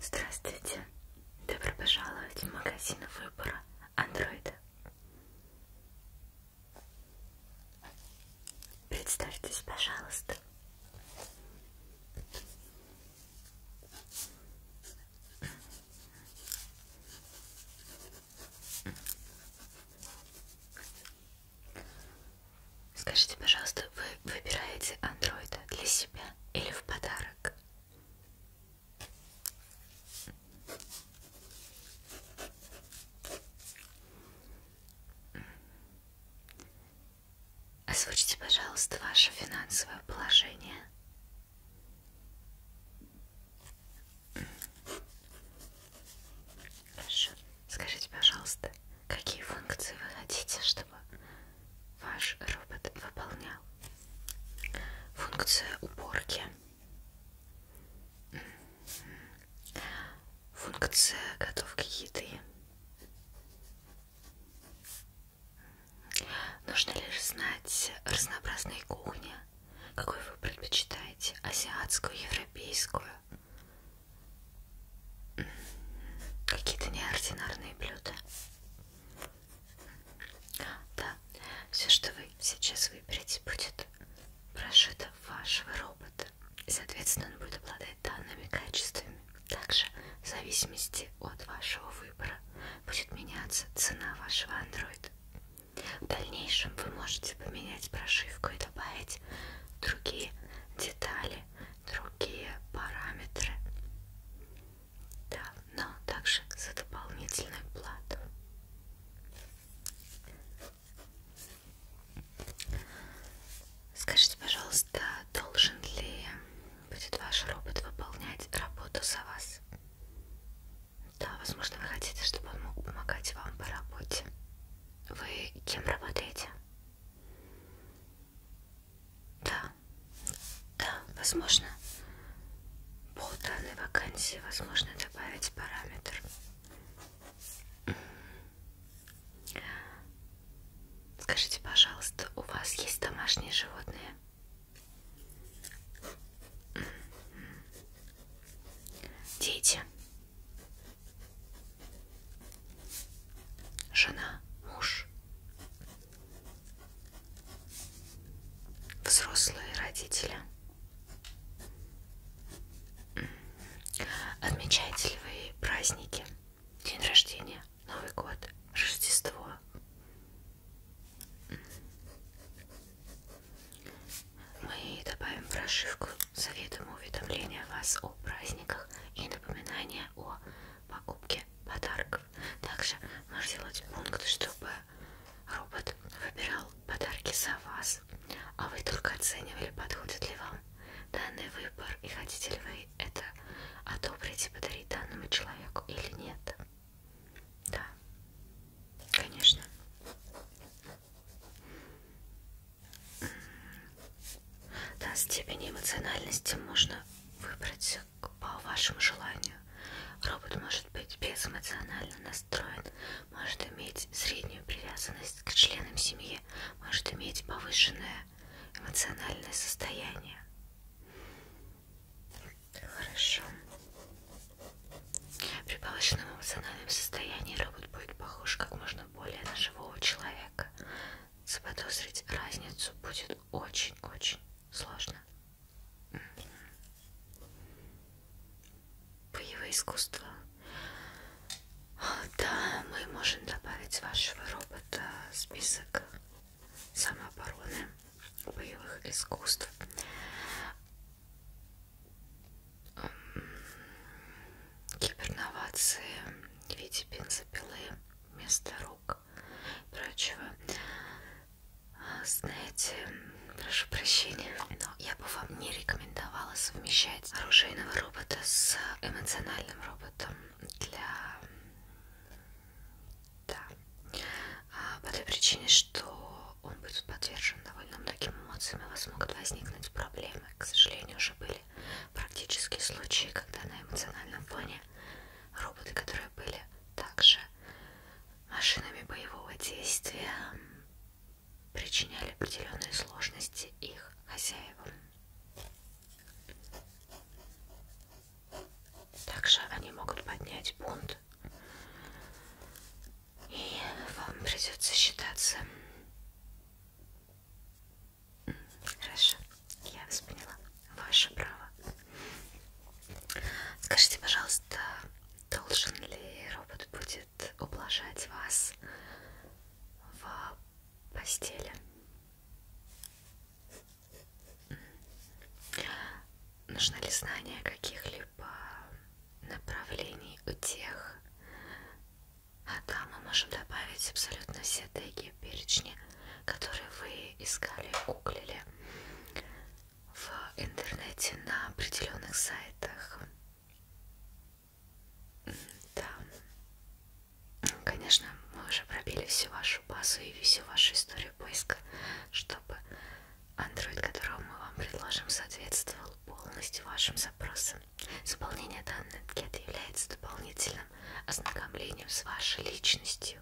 Здравствуйте! Добро пожаловать в магазин выбора Андроида. Представьтесь, пожалуйста. Скажите, пожалуйста, вы выбираете андроида для себя или в подарок? так. Озвучьте, пожалуйста, ваше финансовое положение. Хорошо. Скажите, пожалуйста, какие функции вы хотите, чтобы ваш робот выполнял функцию уборки функция готовки еды нужно лишь знать разнообразные кухни какой вы предпочитаете азиатскую европейскую какие-то неординарные блюда да, все, что вы сейчас выберете, будет прошито вашего робота. И, соответственно, он будет обладать данными качествами. Также, в зависимости от вашего выбора, будет меняться цена вашего андроида. В дальнейшем вы можете поменять прошивку и добавить другие детали, другие параметры да, но также за дополнительную плату. Скажите, пожалуйста, должен ли будет ваш робот выполнять работу за вас? Да, возможно, вы хотите, чтобы он мог помогать вам по работе. Вы кем работаете? Да, да, возможно, по данной вакансии возможно добавить параметр. Скажите, пожалуйста, у вас есть домашние животные? М-м-м. Дети? Жена, муж? взрослые родители. Отмечаете ли вы праздники? День рождения, Новый год, Рождество. Мы добавим в прошивку советом уведомления вас о праздниках и напоминания о покупке подарков. Также можно сделать пункт, чтобы робот выбирал подарки за вас, а вы только оценивали, подходит ли вам данный выбор и хотите ли вы это одобрить и подарить данному человеку или нет. Да, конечно. Да, степень эмоциональности можно выбрать работе по вашему желанию. Робот может быть безэмоционально настроен, может иметь среднюю привязанность к членам семьи, может иметь повышенное эмоциональное состояние. Хорошо. При повышенном эмоциональном состоянии робот будет похож как можно более на живого человека. Заподозрить разницу будет очень-очень Сложно. Боевое искусство. Да, мы можем добавить вашего робота в список самообороны, боевых искусств. Киберновации в виде бензопилы вместо рук книжек и прочего. А, знаете, прошу прощения, но я бы вам не рекомендовала совмещать оружейного робота с эмоциональным роботом для... Да. А по той причине, что он будет подвержен довольно многим эмоциям, и у вас могут возникнуть проблемы. К сожалению, уже были практические случаи, когда на эмоциональном фоне роботы, которые были также машинами боевого действия причиняли определенные сложности их хозяевам. Также они могут поднять бунт, и вам придется считаться. Хорошо. Я вас поняла. Ваше право. Скажите, пожалуйста, должен ли робот будет ублажать вас в постели? Нужно ли знание каких-либо направлений у тех? А да, мы можем добавить абсолютно все теги перечни, которые вы искали, гуглили в интернете на определенных сайтах. Да, конечно, мы уже пробили всю вашу базу и всю вашу историю поиска, чтобы Android, которого мы вам предложим, соответствовал полностью вашим запросам. Заполнение данных анкеты является дополнительным ознакомлением с вашей личностью.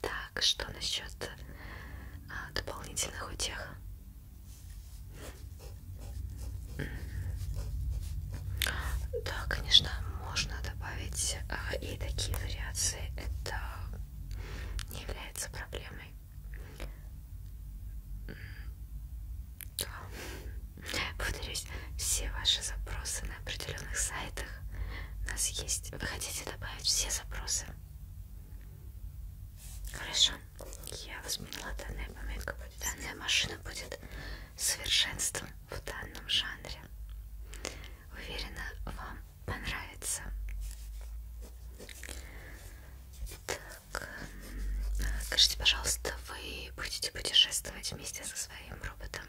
Так, что насчет а, дополнительных утех? Да, конечно, можно добавить а, и такие вариации. Это не является проблемой. Да. Повторюсь, все ваши запросы на определенных сайтах у нас есть. Вы хотите добавить все запросы? Хорошо. Я возьмела данная поминка. Данная машина будет совершенством в данном жанре. Уверена, вам понравится. Так, скажите, пожалуйста, вы будете путешествовать вместе со своим роботом?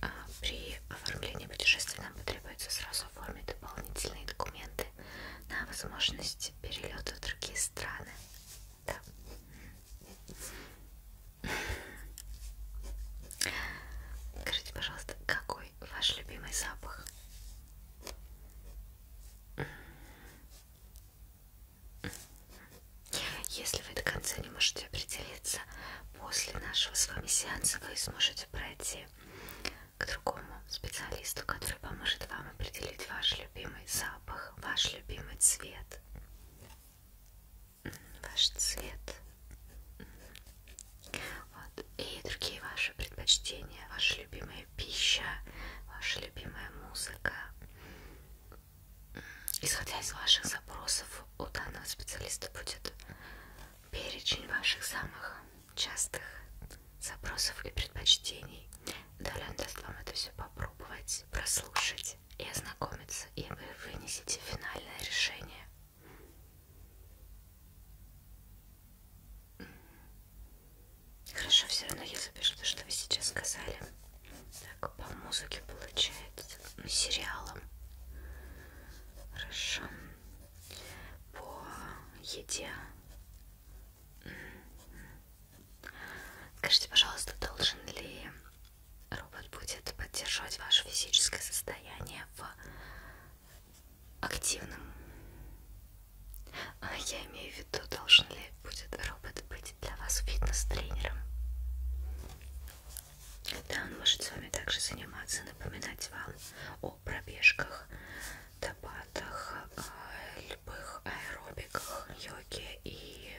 А, при оформлении путешествия нам потребуется сразу оформить дополнительные документы на возможность перелета в другие страны. Да. Скажите, пожалуйста, какой ваш любимый запах? Если вы до конца не можете определиться, после нашего с вами сеанса вы сможете пройти к другому специалисту, который поможет вам определить ваш любимый запах, ваш любимый цвет, ваш цвет вот. и другие ваши предпочтения, ваша любимая пища, ваша любимая музыка, исходя из ваших запросов, у данного специалиста будет перечень ваших самых частых запросов и предпочтений. Далее он даст вам это все попробовать, прослушать и ознакомиться, и вы вынесете финальное решение. Хорошо, все равно я запишу то, что вы сейчас сказали. Так, по музыке получается, сериалам. Хорошо. По еде. М-м-м. Скажите, пожалуйста, должен ли робот будет поддерживать ваше физическое состояние в активном? А, я имею в виду, должен ли будет робот быть для вас фитнес-тренером. Да, он может с вами также заниматься, напоминать вам о пробежках, табатах, а, любых аэробиках, йоге и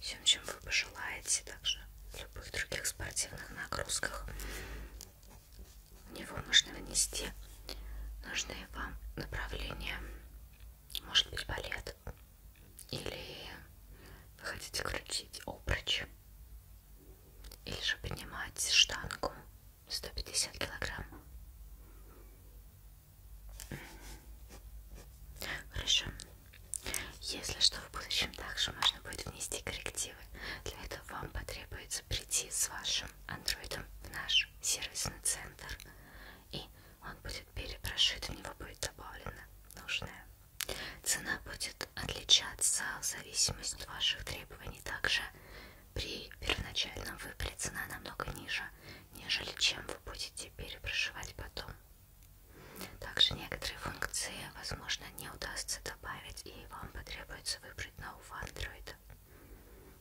всем, чем вы пожелаете, также любых других спортивных нагрузках. В него можно внести нужные вам направления, может быть, балет, или вы хотите крутить обруч? Или же поднимать штангу 150 килограмм? Хорошо. Если что, в будущем также можно будет внести коррективы. Для этого вам потребуется прийти с вашим андроидом в наш сервисный центр, и он будет перепрошит, в него будет добавлена нужная. Цена будет отличаться в зависимости от ваших требований. Также при первоначальном выборе цена намного ниже, нежели чем вы будете перепрошивать потом. Также некоторые функции, возможно, не удастся добавить, и вам потребуется выбрать нового андроида.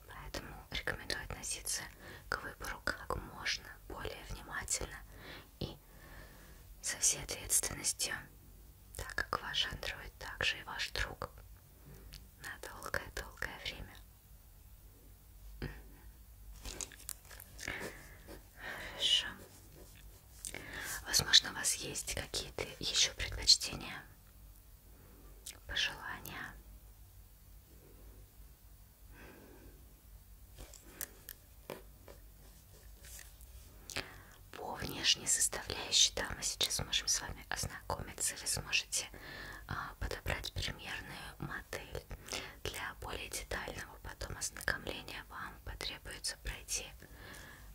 Поэтому рекомендую относиться к выбору как можно более внимательно и ней со всей ответственностью, так как ваш андроид также и ваш друг на долгое-долгое время. Хорошо. Возможно, у вас есть какие-то еще предпочтения, пожелания. По внешней составляющей, да, мы сейчас можем с вами ознакомиться, вы сможете а, подобрать примерную модель. Для более детального потом ознакомления вам потребуется пройти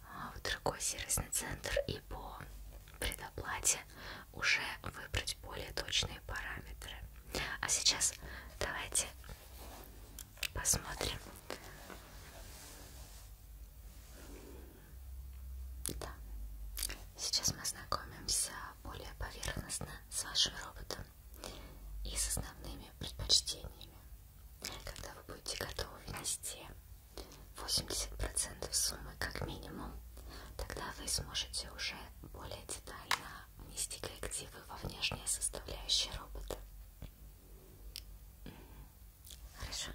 а, в другой сервисный центр и по предоплате уже выбрать более точные параметры. А сейчас давайте Посмотрим. Да. Сейчас мы ознакомимся более поверхностно с вашим роботом и с основными предпочтениями. Когда вы будете готовы внести 80% суммы как минимум, тогда вы сможете уже более детально внести коррективы во внешние составляющие робота. Хорошо.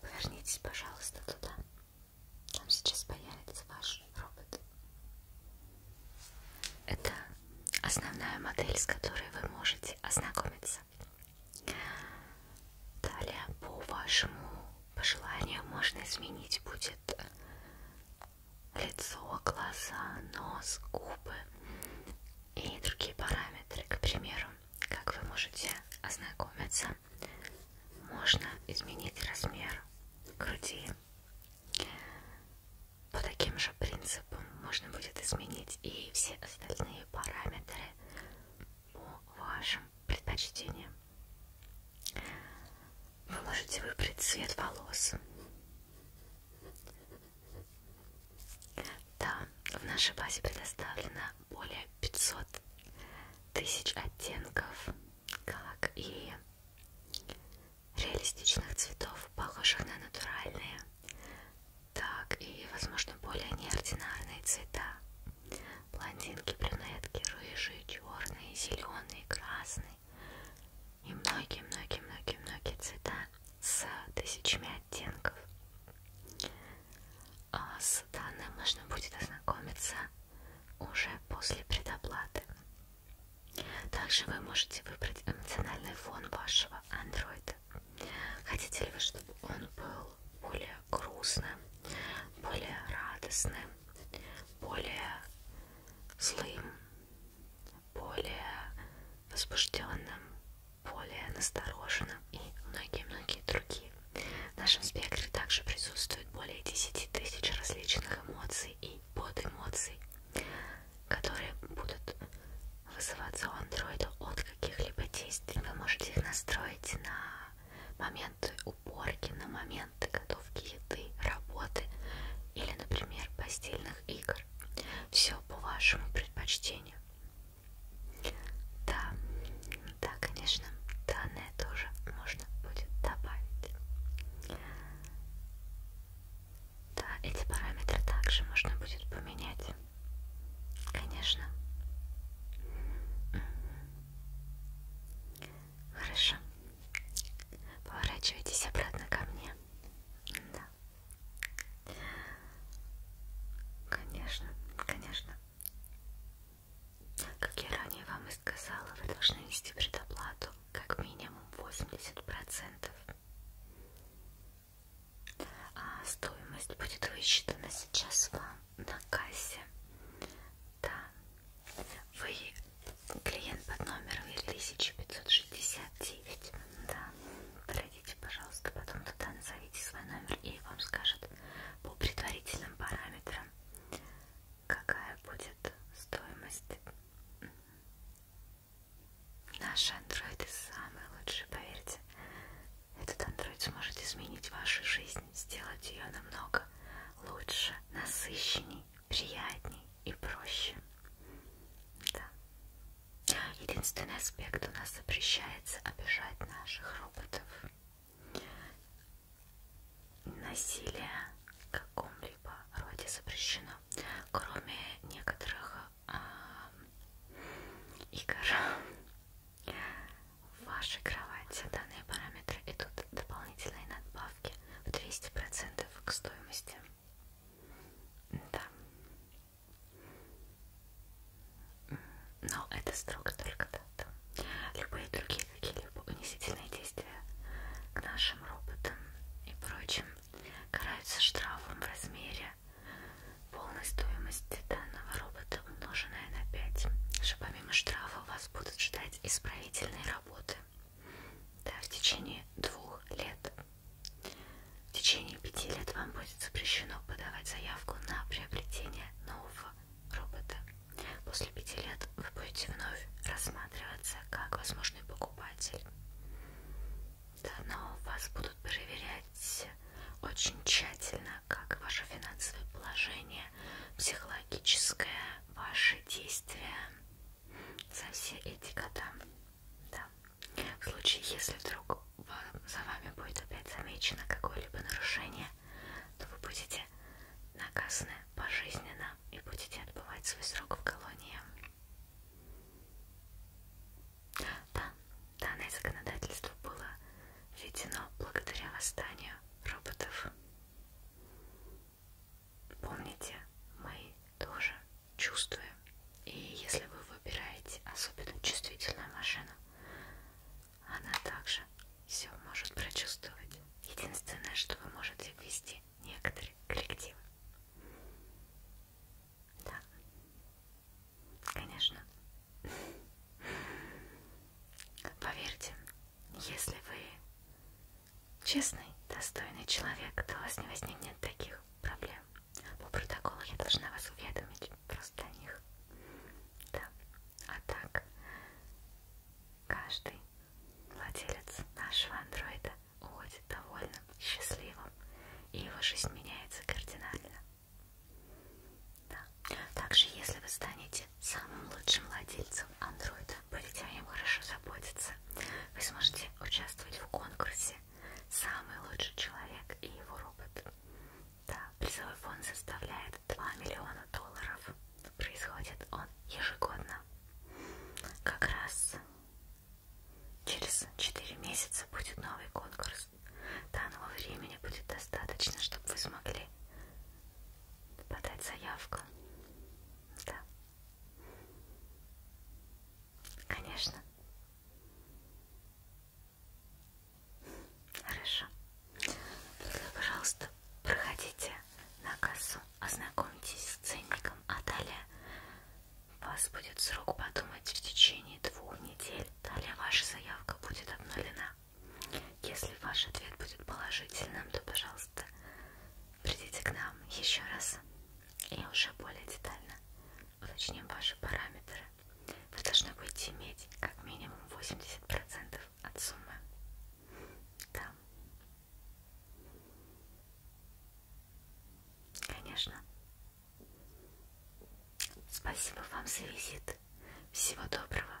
Повернитесь, пожалуйста, туда. Там сейчас появится ваш робот. Это основная модель, с которой вы можете ознакомиться. Далее, по вашему пожеланию, можно изменить будет лицо, глаза, нос, губы и другие параметры. К примеру, как вы можете ознакомиться, можно изменить размер груди. По таким же принципам можно будет изменить и все остальные параметры по вашим предпочтениям. Вы можете выбрать цвет волос, да, в нашей базе предоставлено более 500 тысяч оттенков, как и реалистичных цветов, похожих на натуральные, так и, возможно, более неординарные цвета. Блондинки, брюнетки, рыжие, черные, зеленые, красные, и многие-многие-многие-многие цвета с тысячами оттенков. А с данным можно будет ознакомиться уже после предоплаты. Также вы можете выбрать эмоциональный фон вашего андроида. Хотите ли вы, чтобы он был более грустным, более радостным, более злым, более возбужденным, более настороженным и многие-многие другие. В нашем спектре также присутствует более 10 тысяч различных эмоций и подэмоций, которые будут вызываться у андроида от каких-либо действий. Вы можете их настроить на моменты уборки, на моменты, которые готовки еды, работы или, например, постельных игр. Все по вашему предпочтению. Да, да, конечно, данное тоже можно будет добавить. Да, эти параметры также можно будет поменять. Конечно. Хорошо. Поворачивайтесь обратно ко мне. Да. Конечно, конечно. Как я ранее вам и сказала, вы должны нести предоплату как минимум 80%. А стоимость будет высчитана сейчас вам на кассе. Да. Вы Клиент под номером 1569. Да. Пройдите, пожалуйста, потом туда назовите свой номер и вам скажет по предварительным параметрам, какая будет стоимость. Наши андроиды самые лучшие, поверьте. Этот андроид сможет изменить вашу жизнь, сделать ее намного лучше, насыщеннее удобней, приятней и проще. Да. Единственный аспект у нас запрещается обижать наших роботов. Насилие в каком-либо роде запрещено, кроме некоторых э, игр. В вашей кровати данные параметры идут дополнительные надбавки в 200% к стоимости. Да. Но это строго только дата. Любые другие какие-либо унизительные действия к нашим роботам и прочим караются штрафом в размере полной стоимости данного робота умноженное на 5. Что помимо штрафа вас будут ждать исправительные работы да, в течение двух лет. В течение пяти лет вам будет запрещено подавать заявку на приобретение нового робота. После пяти лет вы будете вновь рассматриваться как возможный покупатель. Да, но вас будут проверять очень тщательно, как ваше финансовое положение, психологическое, ваши действия за все эти года. Да. В случае, если вдруг за вами будет опять замечено какое-либо нарушение, то вы будете наказаны пожизненно и будете отбывать свой срок в колонии. Да, данное законодательство было введено благодаря восстанию роботов. Помните, мы тоже чувствуем. И если вы выбираете особенно чувствительную машину, она также все может прочувствовать. Единственное, что вы можете ввести некоторые коллективы. Да, конечно. Поверьте, если вы честный, достойный человек, то у вас не возникнет таких проблем. По протоколу я должна вас уведомить просто о них. Да. А так, каждый владелец нашего андроида уходит довольным, счастливым, и его жизнь меняется кардинально. Да. Также, если вы станете самым лучшим владельцем андроида, будете о нем хорошо заботиться, вы сможете участвовать в конкурсе Максе. Самый лучший человек и его робот. Да, призовой фонд составляет 2 миллиона долларов. Происходит он ежегодно. Как раз через 4 месяца будет новый конкурс. Данного времени будет достаточно, чтобы вы смогли подать заявку. Да. Конечно. Хорошо. Тогда, пожалуйста, проходите на кассу, ознакомьтесь с ценником, а далее вас будет срок подумать в течение двух недель. Далее ваша заявка будет обнулена. Если ваш ответ будет положительным, то, пожалуйста, Придите к нам еще раз и уже более детально уточним ваши параметры. Вы должны будете иметь как минимум 80% от суммы. Да. Конечно. Спасибо вам за визит. Всего доброго.